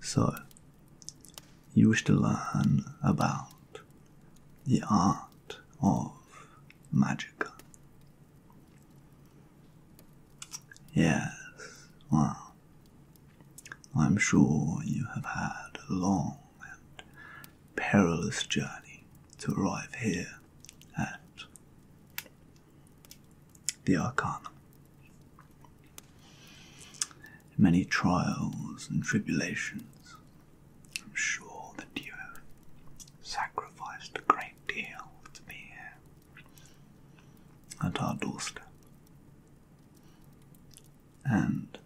So, you wish to learn about the art of magic? Yes, well, I'm sure you have had a long and perilous journey to arrive here at the Arcanum. Many trials and tribulations. I'm sure that you have sacrificed a great deal to be here at our doorstep. And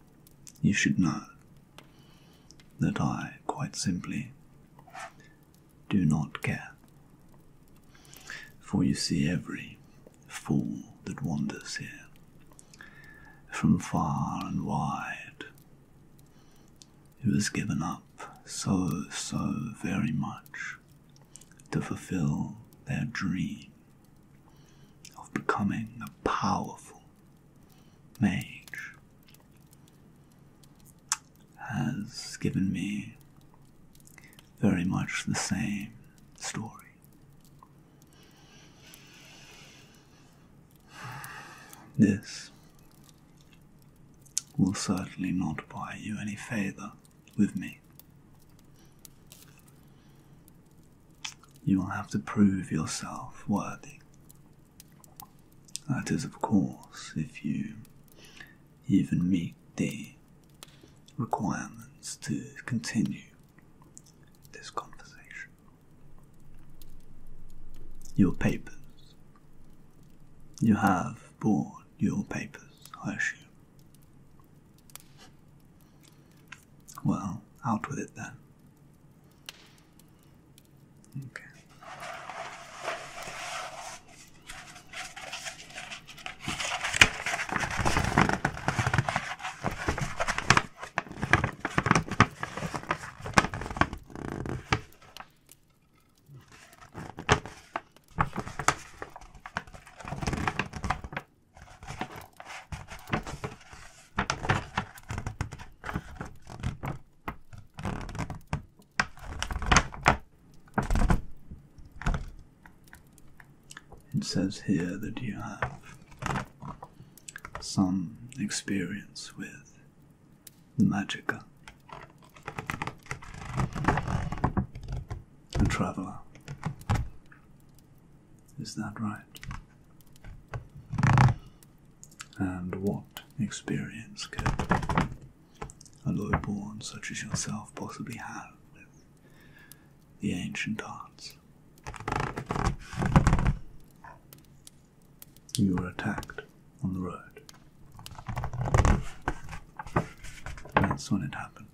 you should know that I quite simply do not care. For you see, every fool that wanders here from far and wide who has given up so, so very much to fulfill their dream of becoming a powerful mage has given me very much the same story. This will certainly not buy you any favour with me you will have to prove yourself worthy. That is, of course, if you even meet the requirements to continue this conversation. Your papers. You have brought your papers, I assume. Well, out with it then. Okay. It says here that you have some experience with the magica, the traveler, is that right? And what experience could a lowborn such as yourself possibly have with the ancient arts? You were attacked on the road. That's when it happened.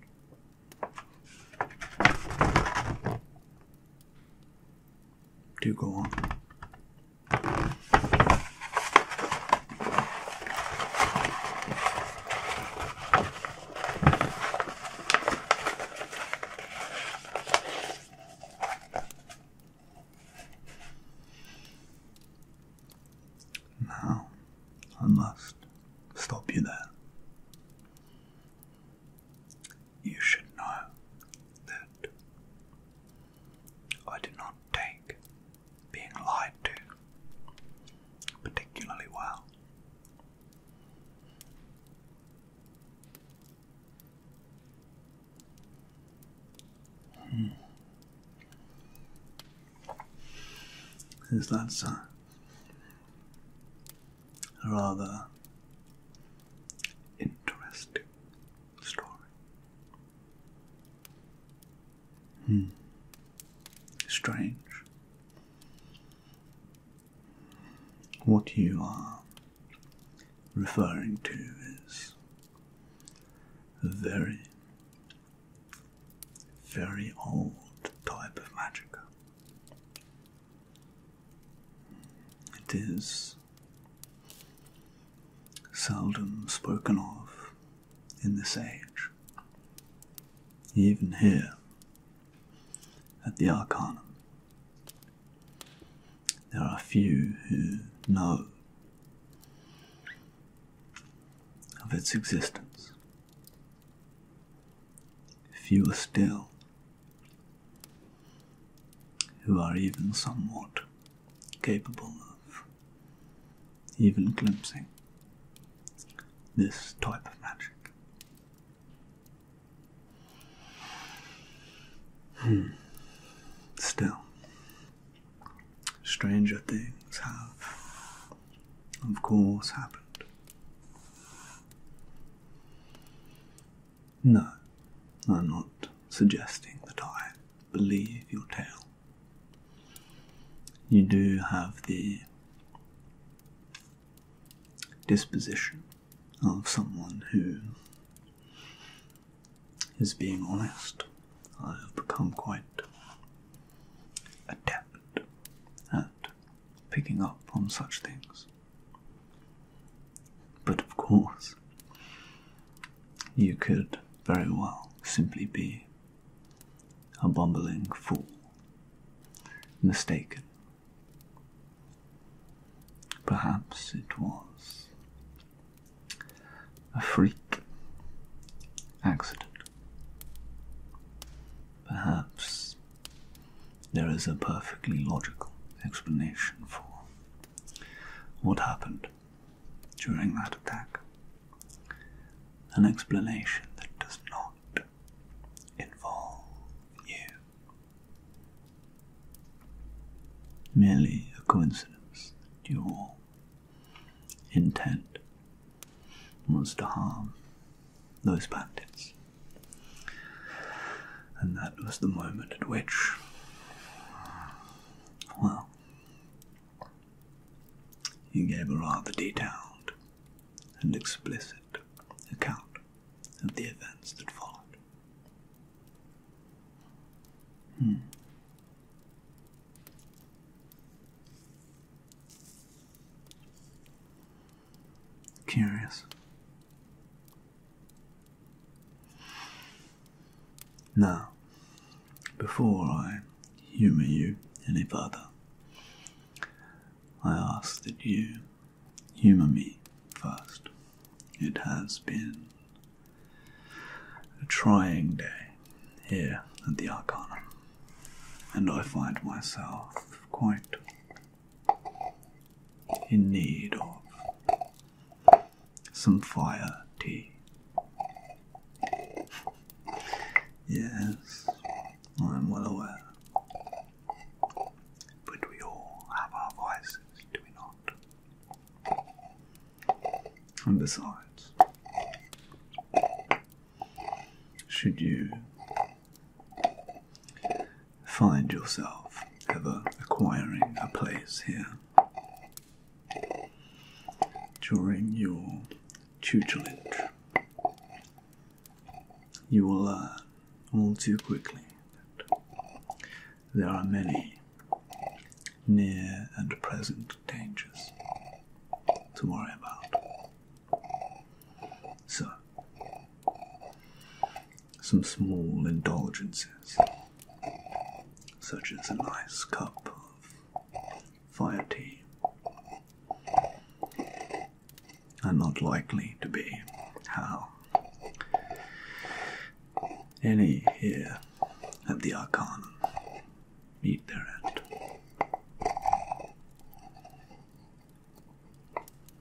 Do go on. Now, I must stop you there. You should know that I did not take being lied to particularly well. Hmm. Is that so? rather interesting story. Hmm. Strange. What you are referring to is a very, very old type of magic. It is seldom spoken of in this age, even here at the Arcanum. There are few who know of its existence fewer still who are even somewhat capable of even glimpsing this type of magic. Hmm. Still, stranger things have, of course, happened. No, I'm not suggesting that I believe your tale. You do have the disposition of someone who is being honest. I have become quite adept at picking up on such things. But of course, you could very well simply be a bumbling fool, mistaken. Perhaps it was a freak accident. Perhaps there is a perfectly logical explanation for what happened during that attack. An explanation that does not involve you. Merely a coincidence that your intent was to harm those bandits. And that was the moment at which, well, he gave a rather detailed and explicit account of the events that followed. Hmm. Curious. Now, before I humour you any further, I ask that you humour me first. It has been a trying day here at the Arkana, and I find myself quite in need of some fire tea. Yes, I'm well aware. But we all have our vices, do we not? And besides, should you find yourself ever acquiring a place here. During your tutelage, you will learn all too quickly that there are many near and present dangers to worry about. So, some small indulgences, such as a nice cup of fire tea, are not likely to be how any here at the Arcanum meet their end.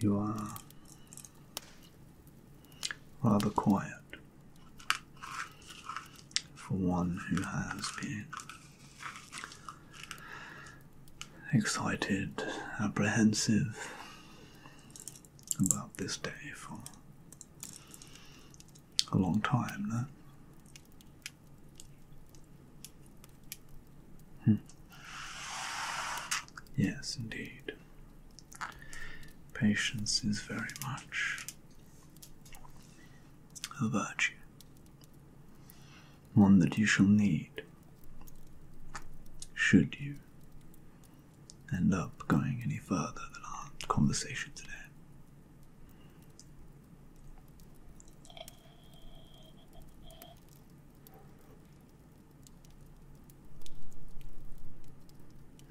You are rather quiet for one who has been excited, apprehensive about this day for a long time, no? Hmm. Yes, indeed. Patience is very much a virtue, one that you shall need should you end up going any further than our conversation today.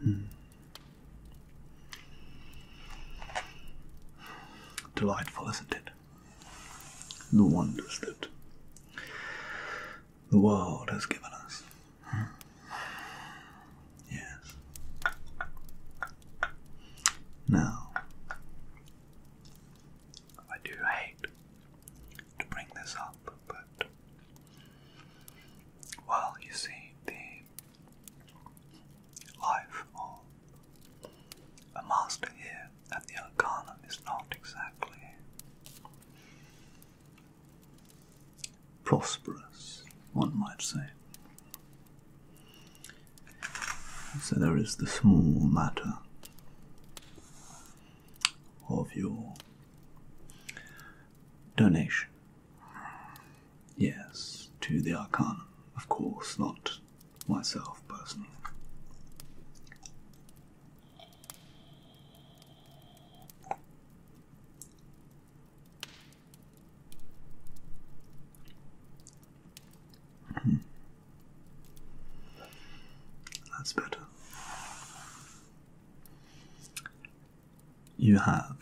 Hmm. Delightful, isn't it? The wonders that the world has given us. Hmm. Yes. Now, I do hate to bring this up, but well, you see, the life of a master here at the Arcanum is not exactly prosperous, one might say. So there is the small matter of your donation. Yes, to the Arcanum, of course, not myself personally. Hmm. That's better. You have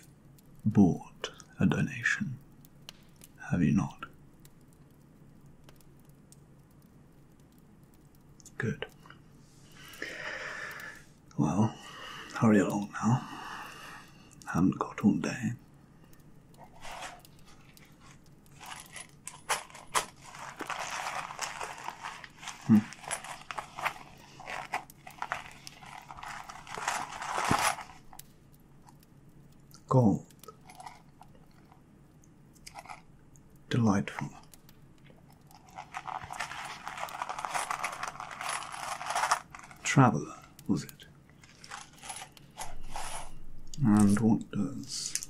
bought a donation, have you not? Good. Well, hurry along now. Haven't got all day. Hmm. Gold. Delightful. Traveller, was it? And what does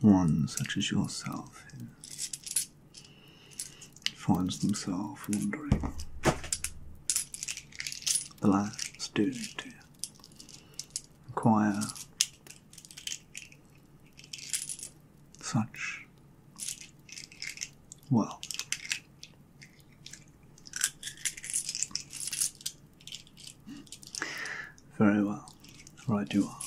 one such as yourself finds themselves wondering? The last doing acquire such wealth. Very well. Right you are.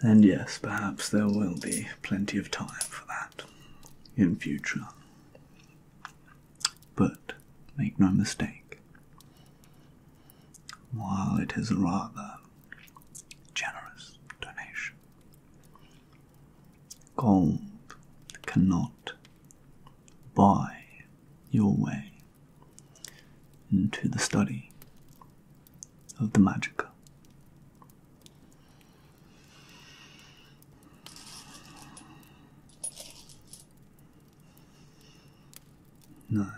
And yes, perhaps there will be plenty of time for that in future. But make no mistake, while it is a rather generous donation, Gold cannot buy your way into the study of the magic. No.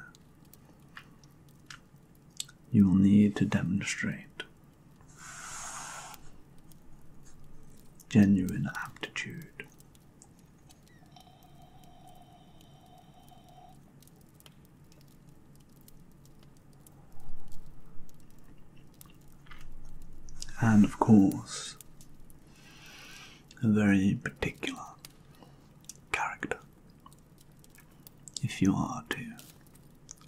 You will need to demonstrate genuine aptitude. And of course, a very particular character if you are to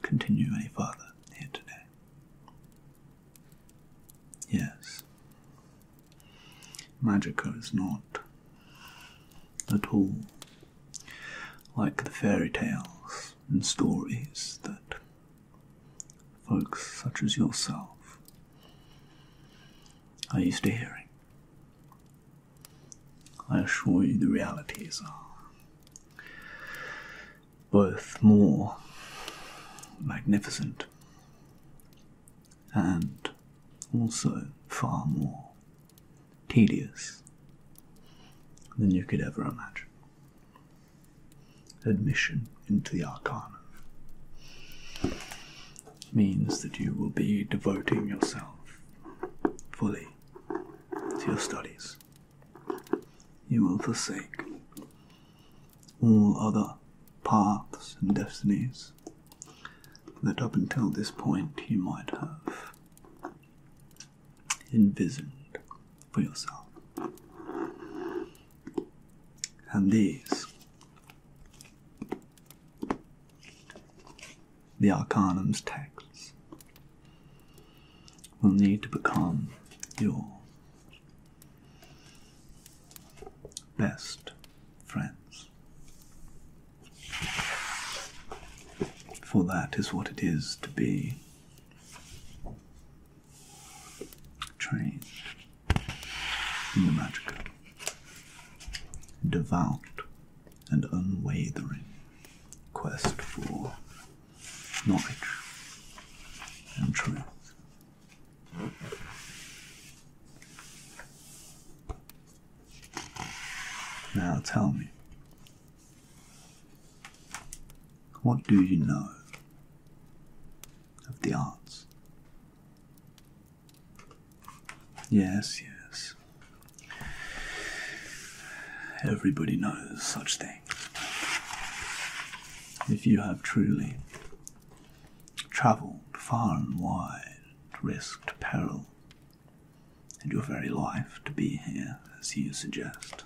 continue any further here today. Yes. Magica is not at all like the fairy tales and stories that folks such as yourself are used to hearing. I assure you the realities are both more magnificent and also far more tedious than you could ever imagine. Admission into the Arcana means that you will be devoting yourself fully to your studies you will forsake all other paths and destinies that up until this point you might have envisioned for yourself. And these, the Arcanum's texts, will need to become your best friends. For that is what it is to be trained in the magic, devout and unwavering quest for knowledge and truth. Now tell me, what do you know of the arts? Yes, yes. Everybody knows such things. If you have truly travelled far and wide, risked peril, and your very life to be here as you suggest,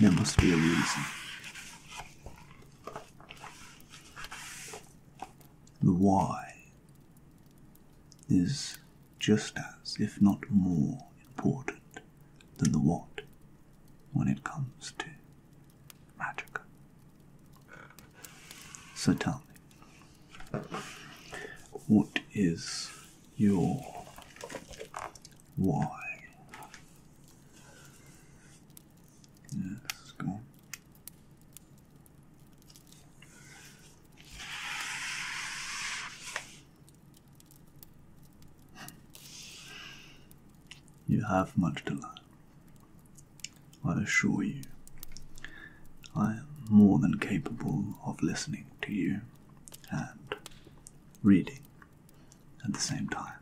there must be a reason. The why is just as, if not more, important than the what when it comes to magic. So tell me, what is your why? Yes, go on. You have much to learn. I assure you, I am more than capable of listening to you and reading at the same time.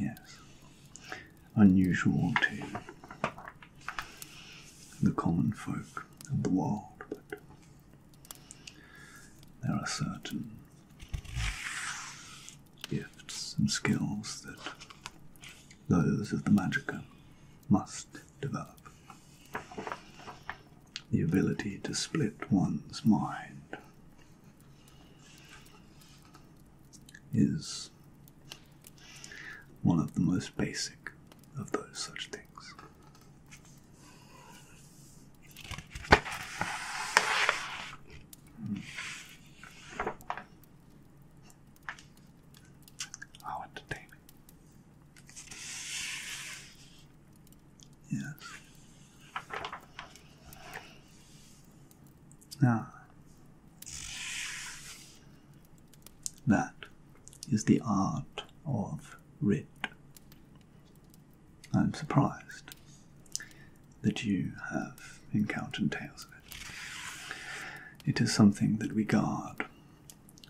Yes, unusual to the common folk of the world there are certain gifts and skills that those of the magicker must develop. The ability to split one's mind is one of the most basic of those such things. How mm. entertaining. Yes. Ah. That is the art of red. I'm surprised that you have encountered tales of it. It is something that we guard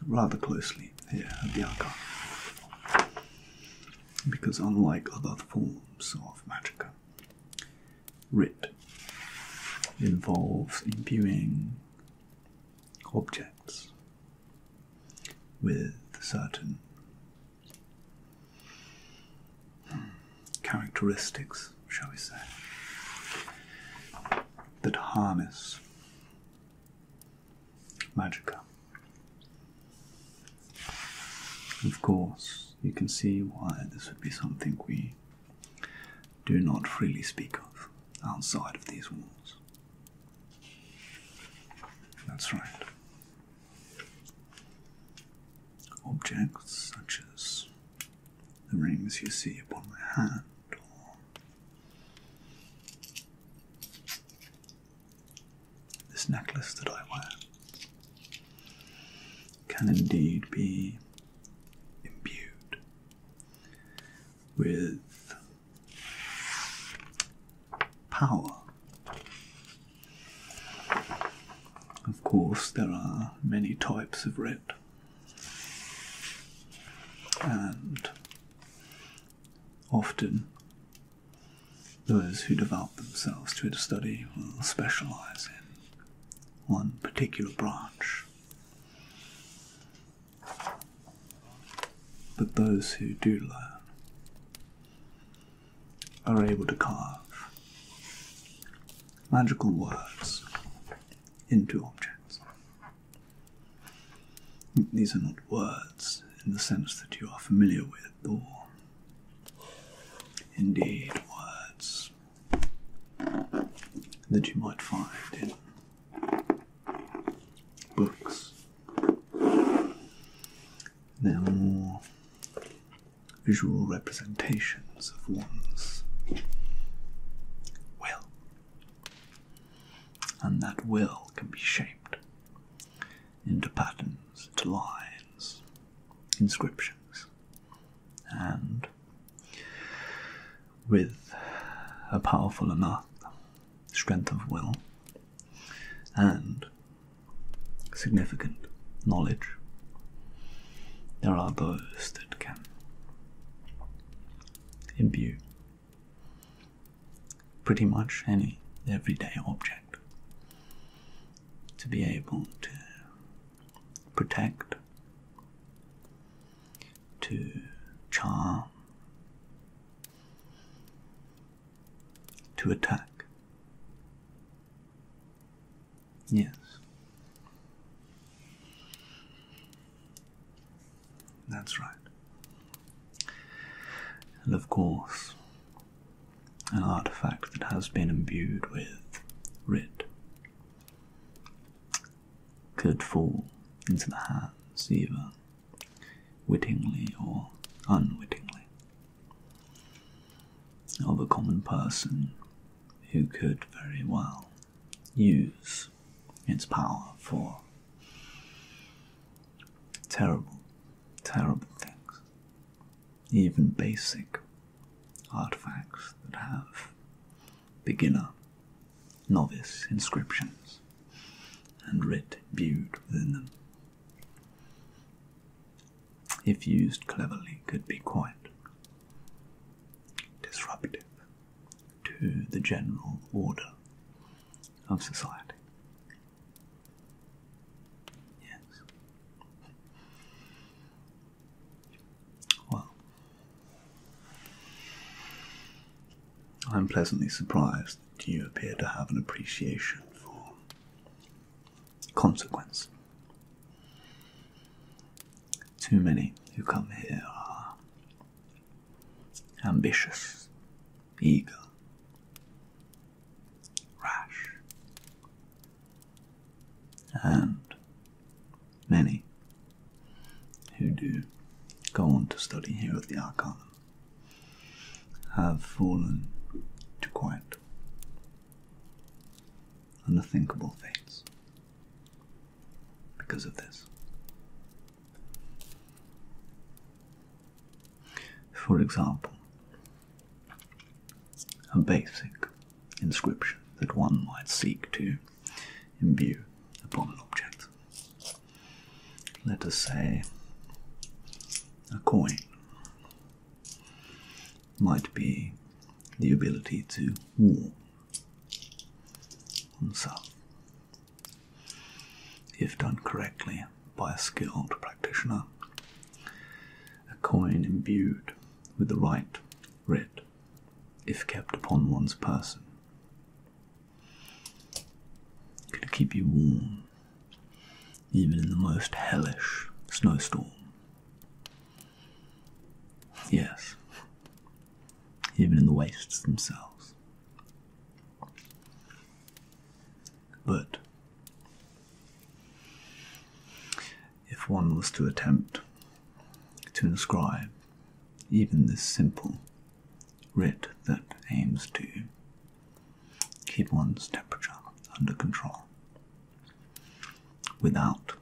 rather closely here at the archive. Because, unlike other forms of magica, writ involves imbuing objects with certain characteristics, shall we say, that harness magica. Of course, you can see why this would be something we do not freely speak of outside of these walls. That's right. Objects such as the rings you see upon my hand, or this necklace that I wear, can indeed be imbued with power. Of course, there are many types of red, and often those who devote themselves to its study will specialize in one particular branch. But those who do learn are able to carve magical words into objects. These are not words in the sense that you are familiar with, or indeed words that you might find in books. They're more visual representations of one's will. And that will can be shaped into patterns, into lines, inscriptions, and with a powerful enough strength of will and significant knowledge, there are those that can imbue pretty much any everyday object to be able to protect to charm, to attack. Yes. That's right. And of course, an artifact that has been imbued with writ could fall into the hands even, wittingly or unwittingly of a common person who could very well use its power for terrible, terrible things, even basic artifacts that have beginner, novice inscriptions, and writ viewed within them. If used cleverly, could be quite disruptive to the general order of society. Yes. Well, I am pleasantly surprised that you appear to have an appreciation for consequence. Too many who come here are ambitious, eager, rash, and many who do go on to study here at the Arcanum have fallen to quite unthinkable fates because of this. For example, a basic inscription that one might seek to imbue upon an object let us say, a coin might be the ability to warm oneself if done correctly by a skilled practitioner. A coin imbued with the right writ, if kept upon one's person, it keep you warm, even in the most hellish snowstorm. Yes, even in the wastes themselves. But if one was to attempt to inscribe even this simple Red that aims to keep one's temperature under control without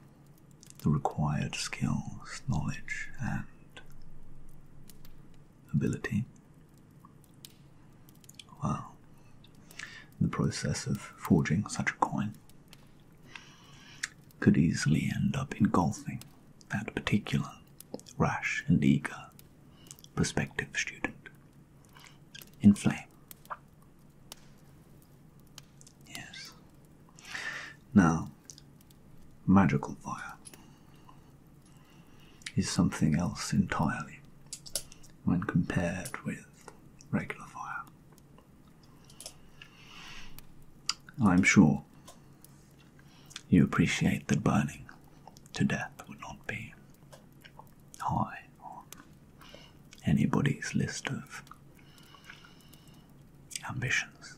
the required skills, knowledge, and ability. Well, the process of forging such a coin could easily end up engulfing that particular rash and eager prospective student. Inflame. Yes. Now, magical fire is something else entirely when compared with regular fire. I'm sure you appreciate that burning to death would not be high on anybody's list of ambitions.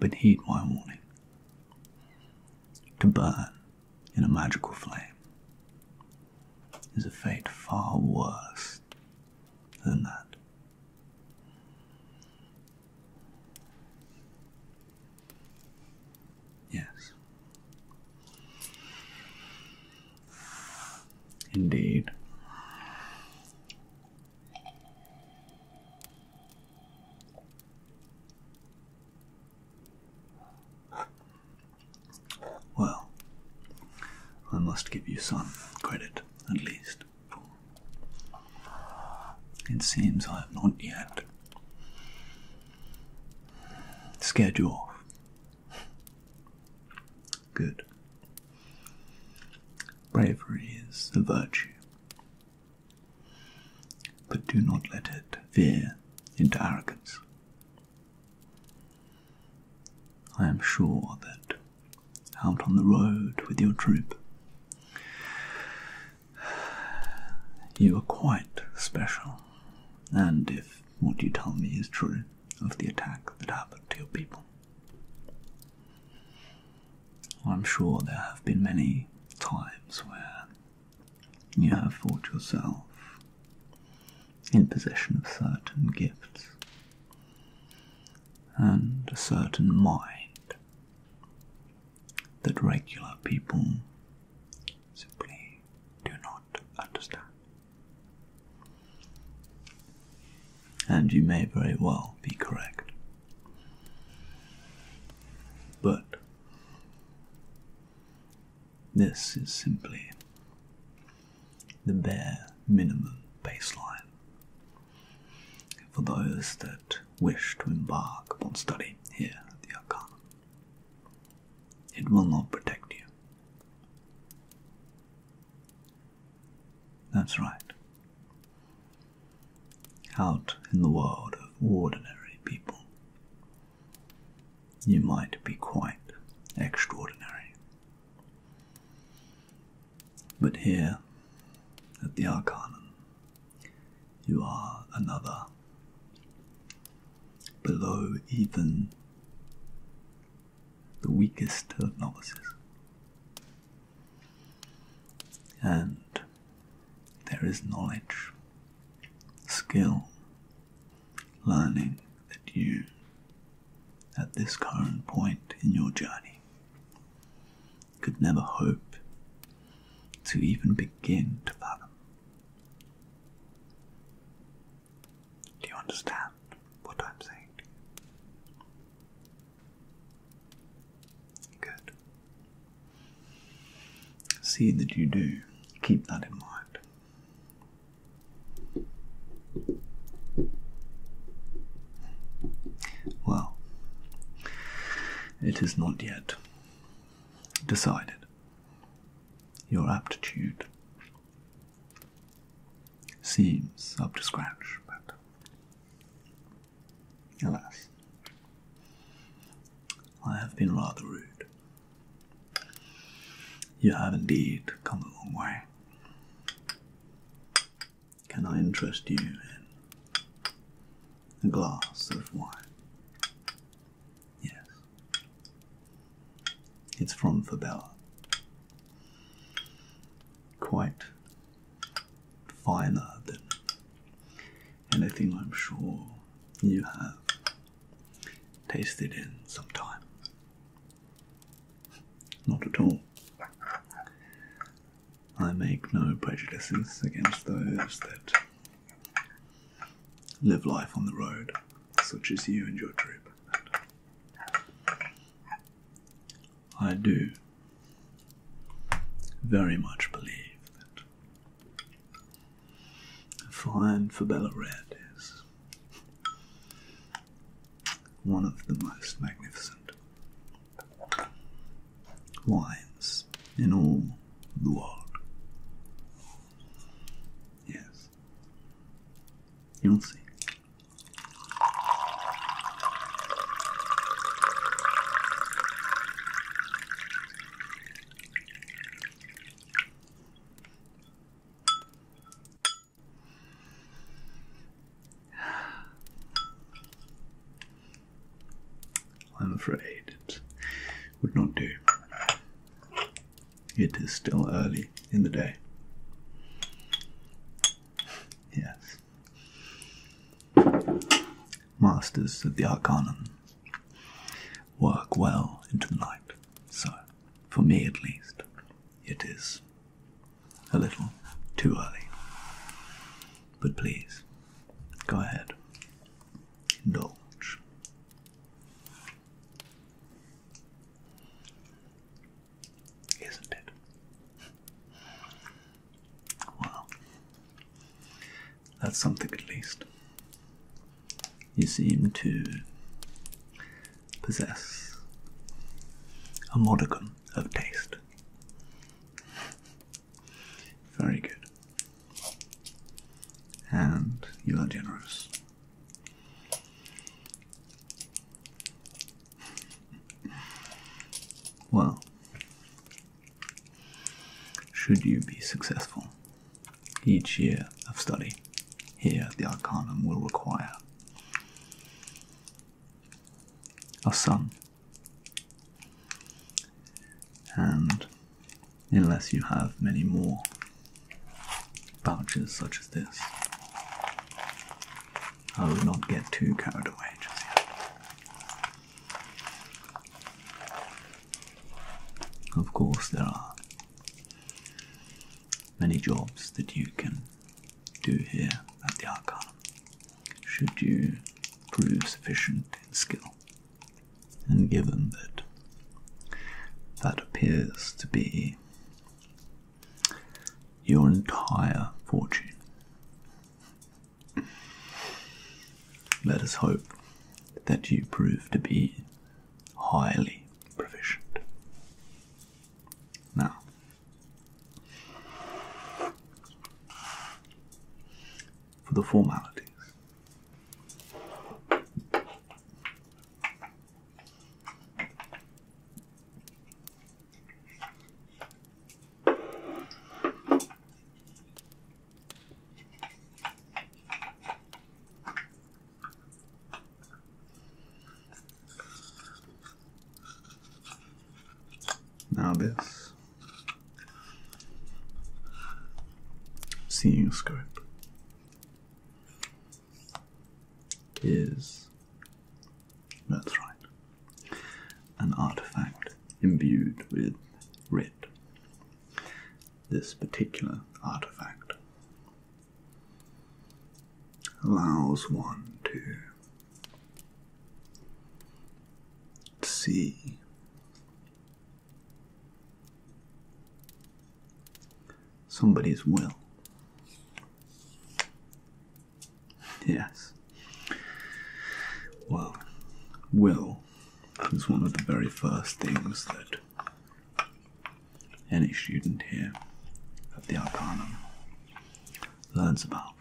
But heed my warning to burn in a magical flame is a fate far worse than that. Yes. Indeed. Well, I must give you some credit, at least. It seems I have not yet schedule. Good. Bravery is a virtue, but do not let it veer into arrogance. I am sure that out on the road with your troop. You are quite special, and if what you tell me is true of the attack that happened to your people, I'm sure there have been many times where you have fought yourself in possession of certain gifts and a certain mind that regular people simply do not understand. And you may very well be correct. But this is simply the bare minimum baseline for those that wish to embark upon study here at the Arcana. It will not protect you. That's right. Out in the world of ordinary people, you might be quite extraordinary. But here, at the Arcanum, you are another. Below even the weakest of novices. And there is knowledge, skill, learning that you, at this current point in your journey, could never hope to even begin to fathom. Do you understand what I'm saying Good. See that you do. Keep that in mind. Well, it is not yet decided. Your aptitude seems up to scratch, but alas, I have been rather rude. You have indeed come a long way. Can I interest you in a glass of wine? Yes. It's from Fabella. Quite finer than anything I'm sure you have tasted in some time. Not at all. I make no prejudices against those that live life on the road, such as you and your troop. I do very much believe that a fine Fabella Red is one of the most magnificent wines in all the world. Yes. You'll see. I'm afraid it would not do. It is still early in the day. Yes. Masters of the Arcanum work well into the night, so, for me at least, it is a little too early. But please, go ahead. Indulge. Isn't it? Well, that's something at least. You seem to possess a modicum of taste. Very good. And you are generous. Well, should you be successful, each year of study here at the Arcanum will require a sung. And unless you have many more pouches such as this, I would not get too carried away Of course, there are many jobs that you can do here at the art should you prove sufficient in skill. And given that that appears to be your entire fortune, let us hope that you prove to be highly proficient. Now, for the formalities. Now this. Seeing scope is that's right, an artifact imbued with red. This particular artifact allows one to Let's see. Somebody's will. Yes. Well, will is one of the very first things that any student here at the Arcanum learns about,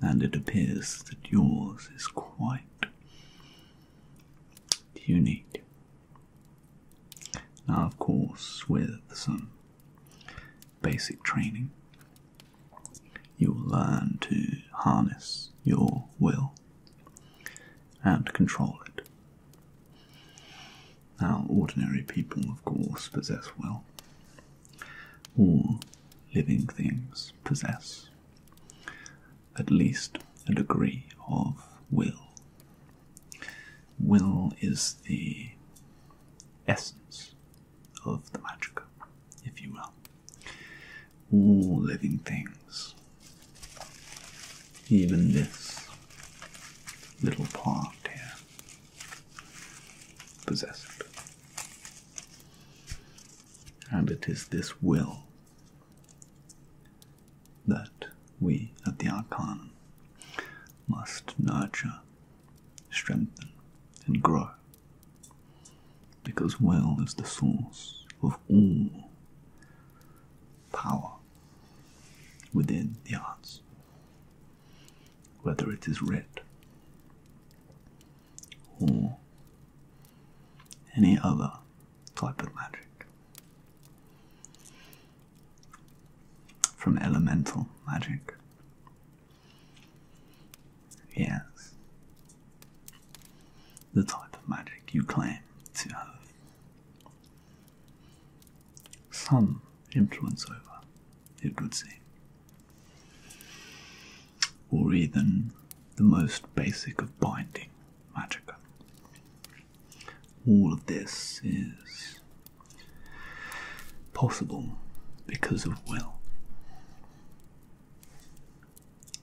and it appears that yours is quite unique. Now, of course, with some basic training, you will learn to harness your will and control it. Now, ordinary people, of course, possess will. All living things possess at least a degree of will. Will is the essence of the magica, if you will. All living things, even this little part here, possessed. And it is this will that we at the Arcanum must nurture, strengthen, and grow. Because will is the source of all power within the arts whether it is red or any other type of magic, from elemental magic. Yes, the type of magic you claim to have some influence over it would seem. Or even the most basic of binding, magica. All of this is possible because of will.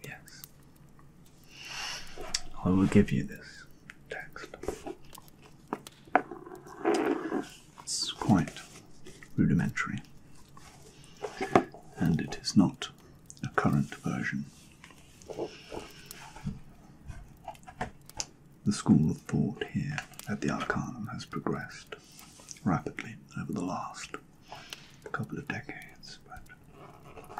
Yes. I will give you this text. It's quite rudimentary, and it is not a current version. The school of thought here at the Arcanum has progressed rapidly over the last couple of decades, but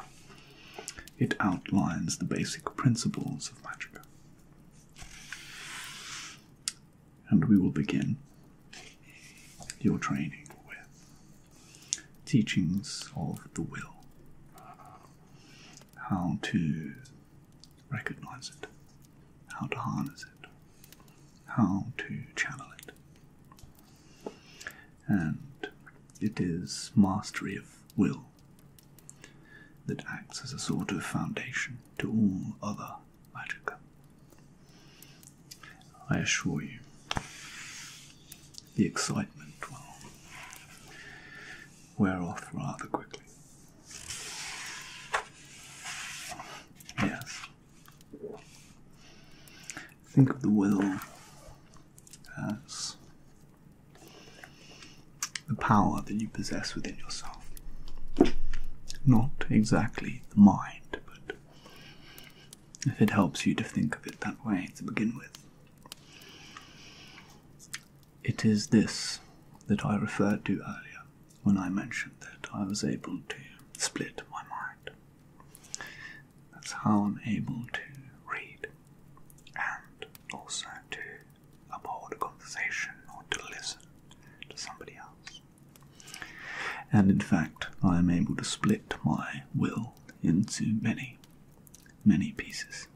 it outlines the basic principles of magic and we will begin your training with teachings of the will, how to recognize it, how to harness it, how to channel it. And it is mastery of will that acts as a sort of foundation to all other magic. I assure you, the excitement will wear off rather quickly. Yes. Think of the will as the power that you possess within yourself. Not exactly the mind, but if it helps you to think of it that way to begin with. It is this that I referred to earlier when I mentioned that I was able to split my mind. That's how I'm able to read and also to uphold a conversation or to listen to somebody else. And in fact, I am able to split my will into many, many pieces.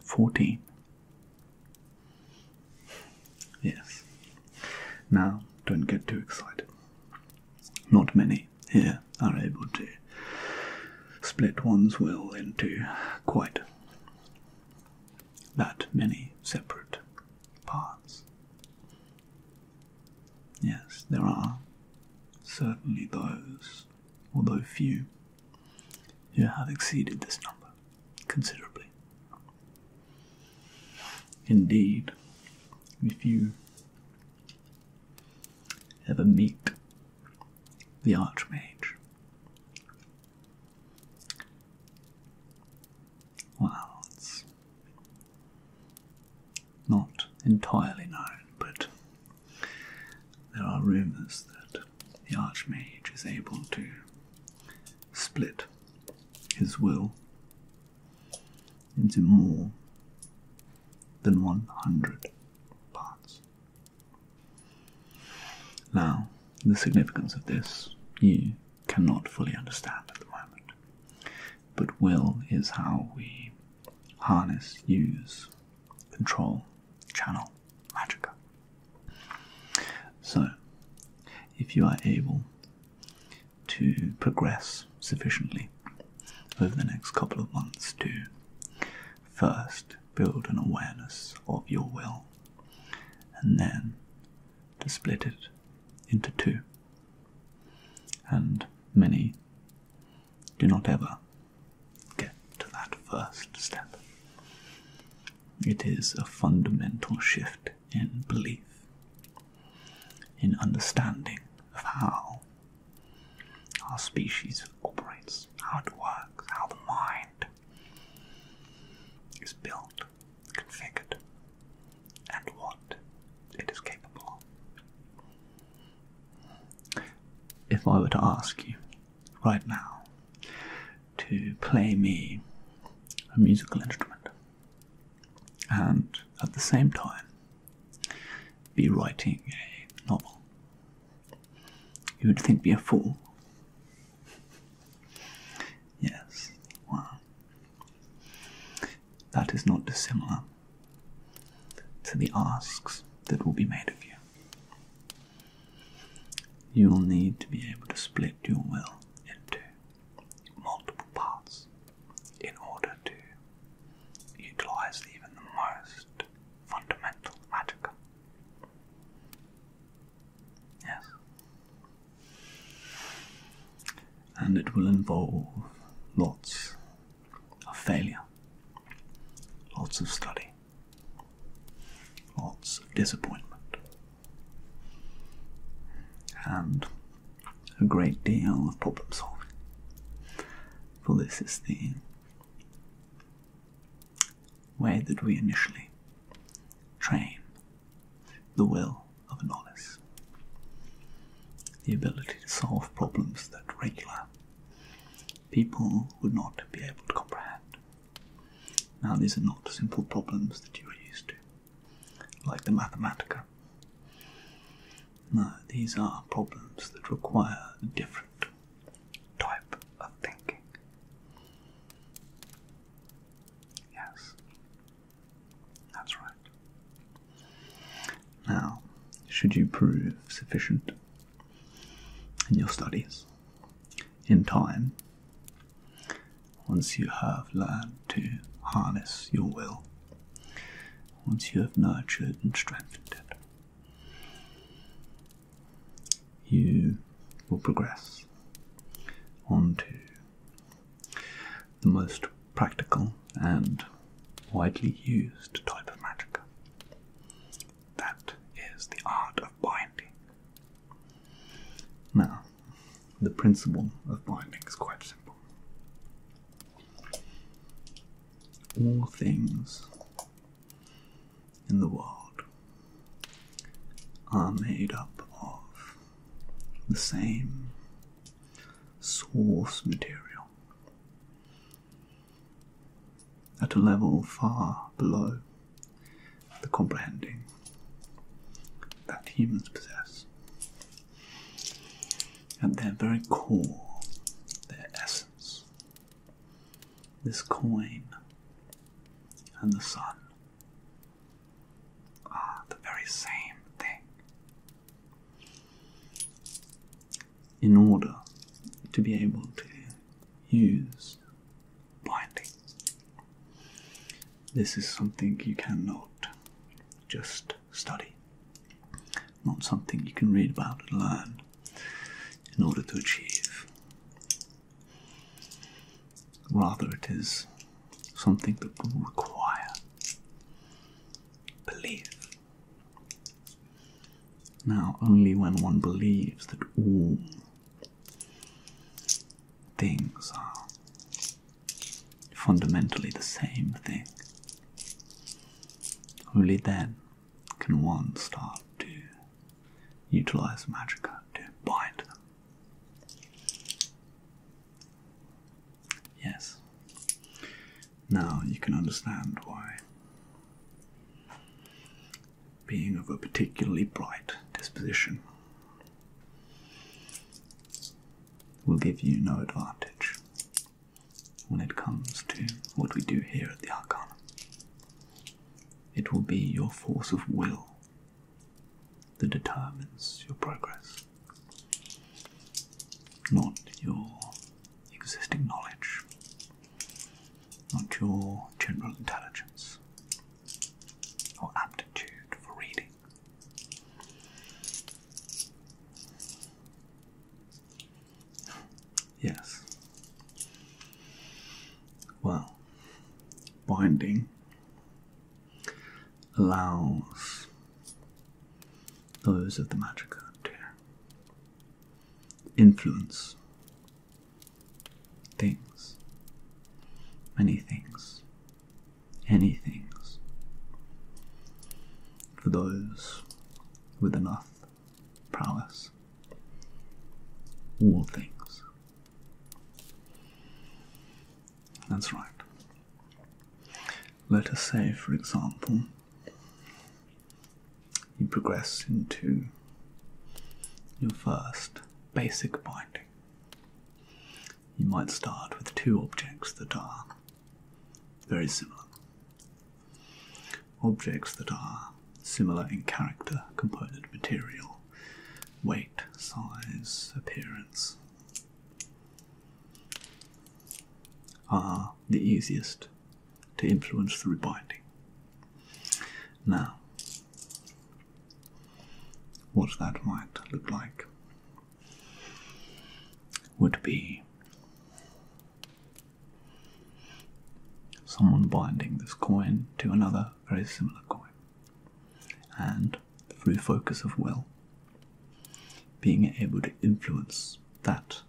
14. Yes. Now, don't get too excited. Not many here are able to split one's will into quite that many separate parts. Yes, there are certainly those, although few, who have exceeded this number considerably. Indeed, if you ever meet the Archmage. Well, it's not entirely known, but there are rumours that the Archmage is able to split his will into more than 100 parts. Now, the significance of this you cannot fully understand at the moment, but will is how we harness, use, control, channel, magic. So, if you are able to progress sufficiently over the next couple of months to First, build an awareness of your will, and then to split it into two. And many do not ever get to that first step. It is a fundamental shift in belief, in understanding of how how species operates, how it works, how the mind is built, configured, and what it is capable of. If I were to ask you right now to play me a musical instrument and at the same time be writing a novel, you would think me a fool. Yes, wow. That is not dissimilar to the asks that will be made of you. You will need to be able to split your will into multiple parts in order to utilize even the most fundamental magic. Yes. And it will involve lots of failure, lots of study, lots of disappointment, and a great deal of problem solving. For this is the way that we initially train the will of knowledge, the ability to solve problems that regular people would not be able to comprehend. Now, these are not simple problems that you are used to, like the Mathematica. No, these are problems that require different type of thinking. Yes, that's right. Now, should you prove sufficient in your studies in time, once you have learned to harness your will, once you have nurtured and strengthened it, you will progress onto the most practical and widely used type of magic. That is the art of binding. Now, the principle of binding is quite simple. All things in the world are made up of the same source material at a level far below the comprehending that humans possess. At their very core, their essence this coin and the sun are the very same thing. In order to be able to use binding, this is something you cannot just study not something you can read about and learn in order to achieve. Rather, it is something that will require belief. Now, only when one believes that all things are fundamentally the same thing, only then can one start to utilize magica to bind them? Yes. Now you can understand why being of a particularly bright disposition will give you no advantage when it comes to what we do here at the Arcanum. It will be your force of will that determines your progress, not your existing knowledge, not your general intelligence or aptitude for reading. Yes. Well, binding allows those of the magic to influence things, many things, any things, for those with enough prowess, all things. That's right. Let us say, for example, you progress into your first basic binding. You might start with two objects that are very similar. Objects that are similar in character, component material, weight, size, appearance are the easiest to influence through binding. Now, what that might look like would be someone binding this coin to another very similar coin. And through focus of will, being able to influence that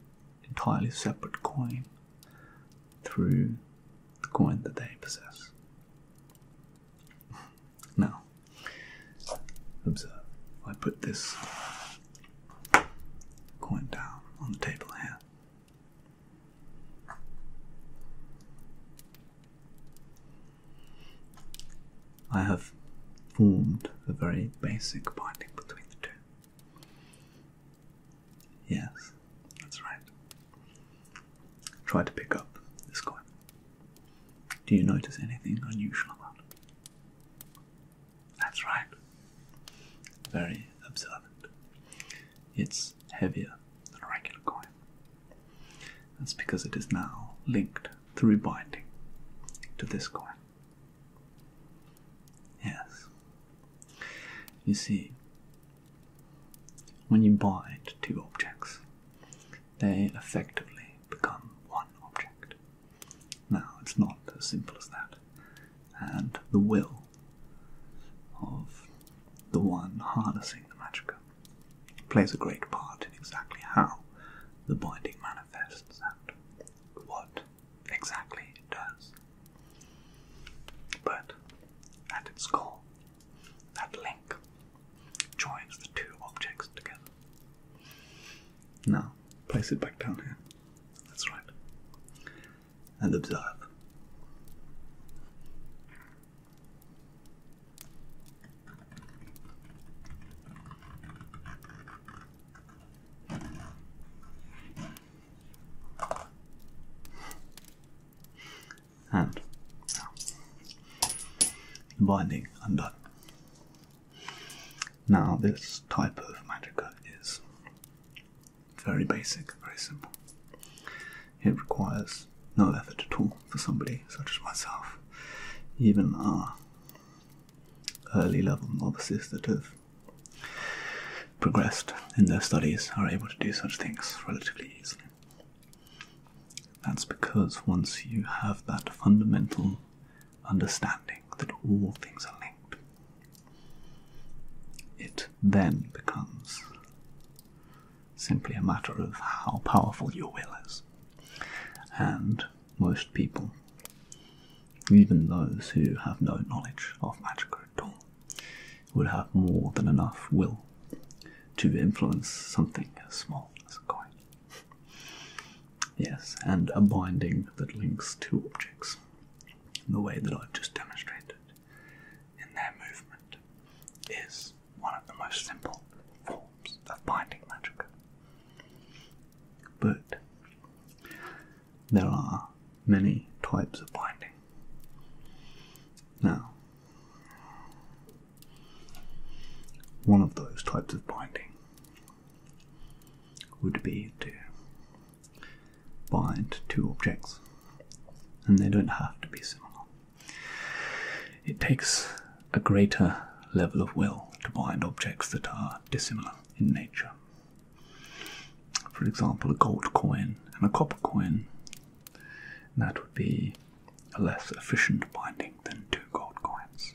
entirely separate coin through the coin that they possess. Now, observe, I put this coin down on the table here. I have formed a very basic binding between the two. Yes, that's right. Try to pick up this coin. Do you notice anything unusual about it? That's right. Very observant. It's heavier than a regular coin. That's because it is now linked through binding to this coin. Yes. You see, when you bind two objects, they effectively become one object. Now, it's not as simple as that and the will of the one harnessing the magicka plays a great part in exactly how the binding manifests and what exactly it does. But at its core, that link joins the two objects together. Now, place it back down here. That's right and observe. And now, the binding undone. Now, this type of magic is very basic, very simple. It requires no effort at all for somebody such as myself. Even our early level novices that have progressed in their studies are able to do such things relatively easily. That's because once you have that fundamental understanding that all things are linked, it then becomes simply a matter of how powerful your will is. And most people, even those who have no knowledge of magic at all, would have more than enough will to influence something as small as a coin. Yes, and a binding that links two objects the way that I've just demonstrated in their movement is one of the most simple forms of binding magic. But there are many types of binding. Now, one of those types of binding would be to bind two objects, and they don't have to be similar. It takes a greater level of will to bind objects that are dissimilar in nature. For example, a gold coin and a copper coin, that would be a less efficient binding than two gold coins,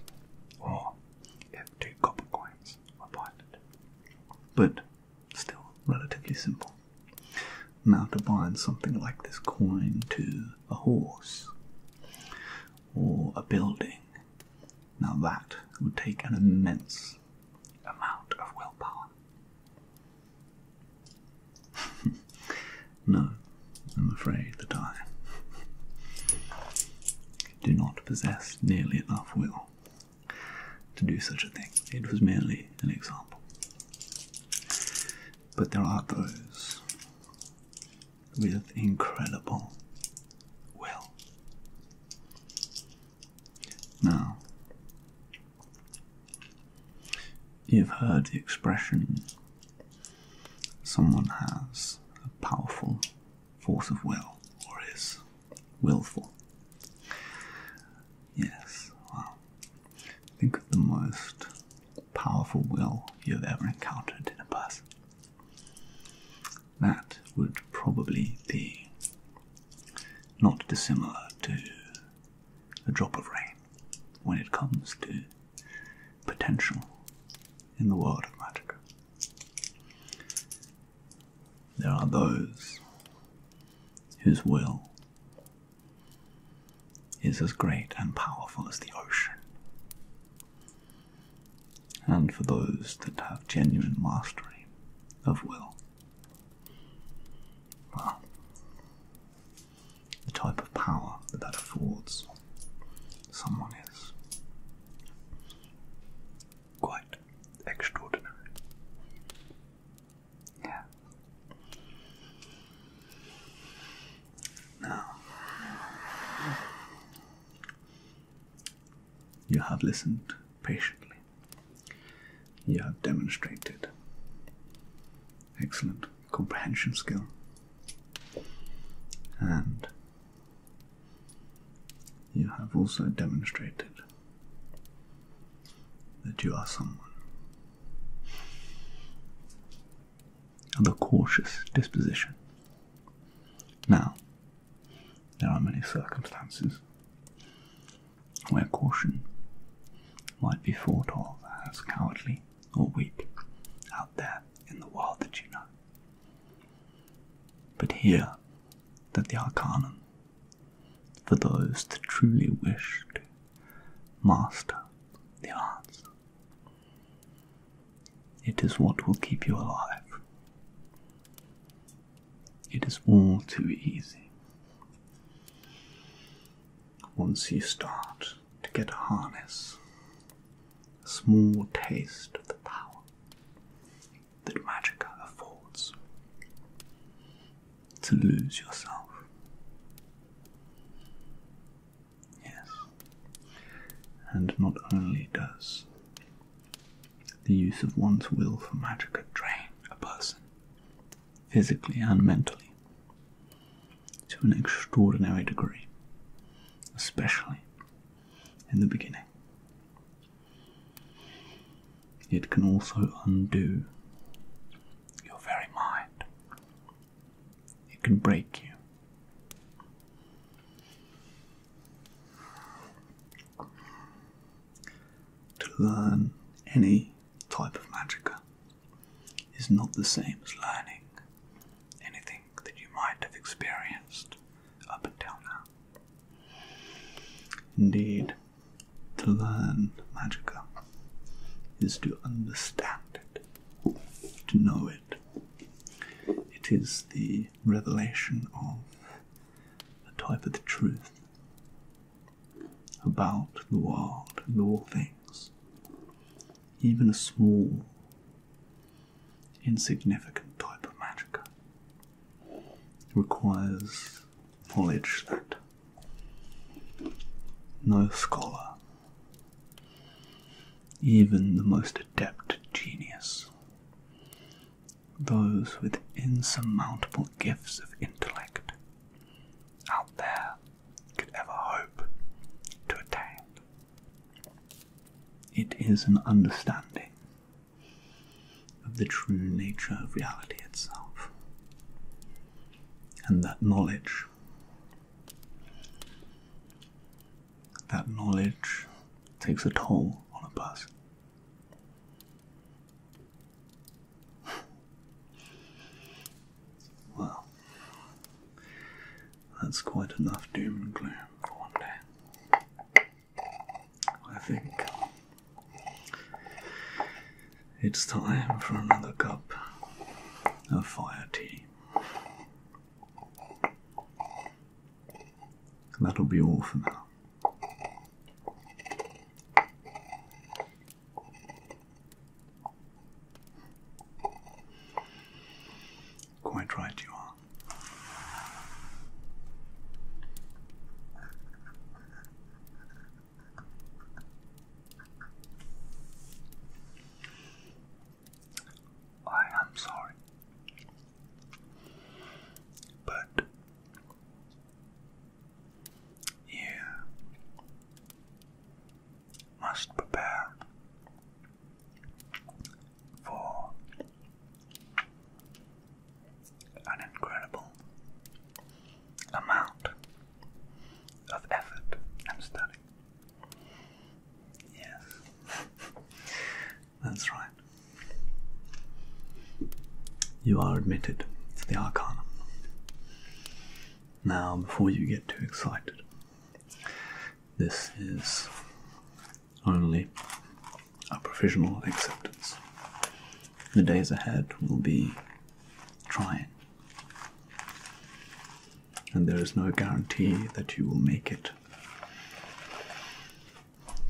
or if two copper coins as but still relatively simple. Now, to bind something like this coin to a horse or a building, now that would take an immense amount of willpower. no, I'm afraid that I do not possess nearly enough will to do such a thing. It was merely an example. But there are those with incredible will. Now, you've heard the expression someone has a powerful force of will or is willful. Yes, well, think of the most powerful will you've ever encountered in a person. That would probably be not dissimilar to a drop of rain when it comes to potential in the world of magic. There are those whose will is as great and powerful as the ocean. And for those that have genuine mastery of will, well, the type of power that that affords someone is quite extraordinary. Yeah. Now, you have listened patiently. You have demonstrated excellent comprehension skill and you have also demonstrated that you are someone of a cautious disposition. Now, there are many circumstances where caution might be thought of as cowardly or weak out there in the world that you know. But here, that the Arcanum, for those that truly wished to master the arts, it is what will keep you alive. It is all too easy. Once you start to get a harness, a small taste of the power that magica affords. To lose yourself. Yes. And not only does the use of one's will for magica drain a person, physically and mentally, to an extraordinary degree, especially in the beginning. It can also undo your very mind, it can break you. To learn any type of magica is not the same as learning anything that you might have experienced up until now. Indeed, to learn magica is to understand it, to know it. It is the revelation of a type of truth about the world and all things, even a small, insignificant type of magica requires knowledge that no scholar, even the most adept genius, those with insurmountable gifts of intellect out there could ever hope to attain. It is an understanding of the true nature of reality itself. And that knowledge, that knowledge takes a toll on a person. Well, that's quite enough doom and gloom for one day. I think it's time for another cup of fire tea. That'll be all for now. Quite right, you are. I am sorry, but you must prepare for an incredible amount of effort and study. Yes, that's right. You are admitted to the Arcanum. Now, before you get too excited, this is only a provisional acceptance. The days ahead will be trying, and there is no guarantee that you will make it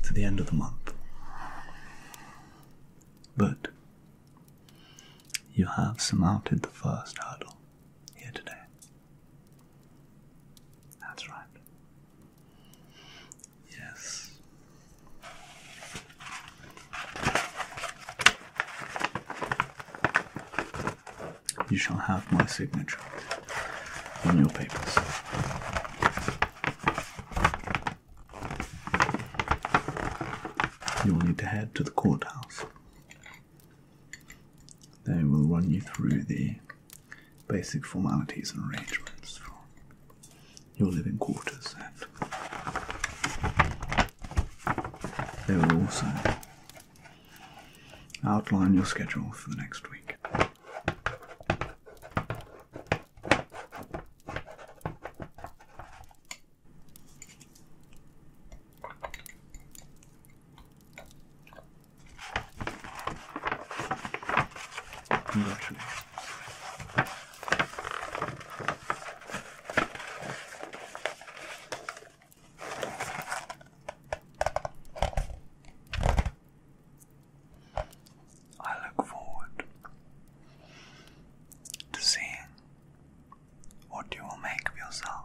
to the end of the month. But you have surmounted the first hurdle here today. That's right. Yes. You shall have my signature on your papers. You will need to head to the courthouse. They will run you through there basic formalities and arrangements for your living quarters, and they will also outline your schedule for the next week. Congratulations. I look forward to seeing what you will make of yourself.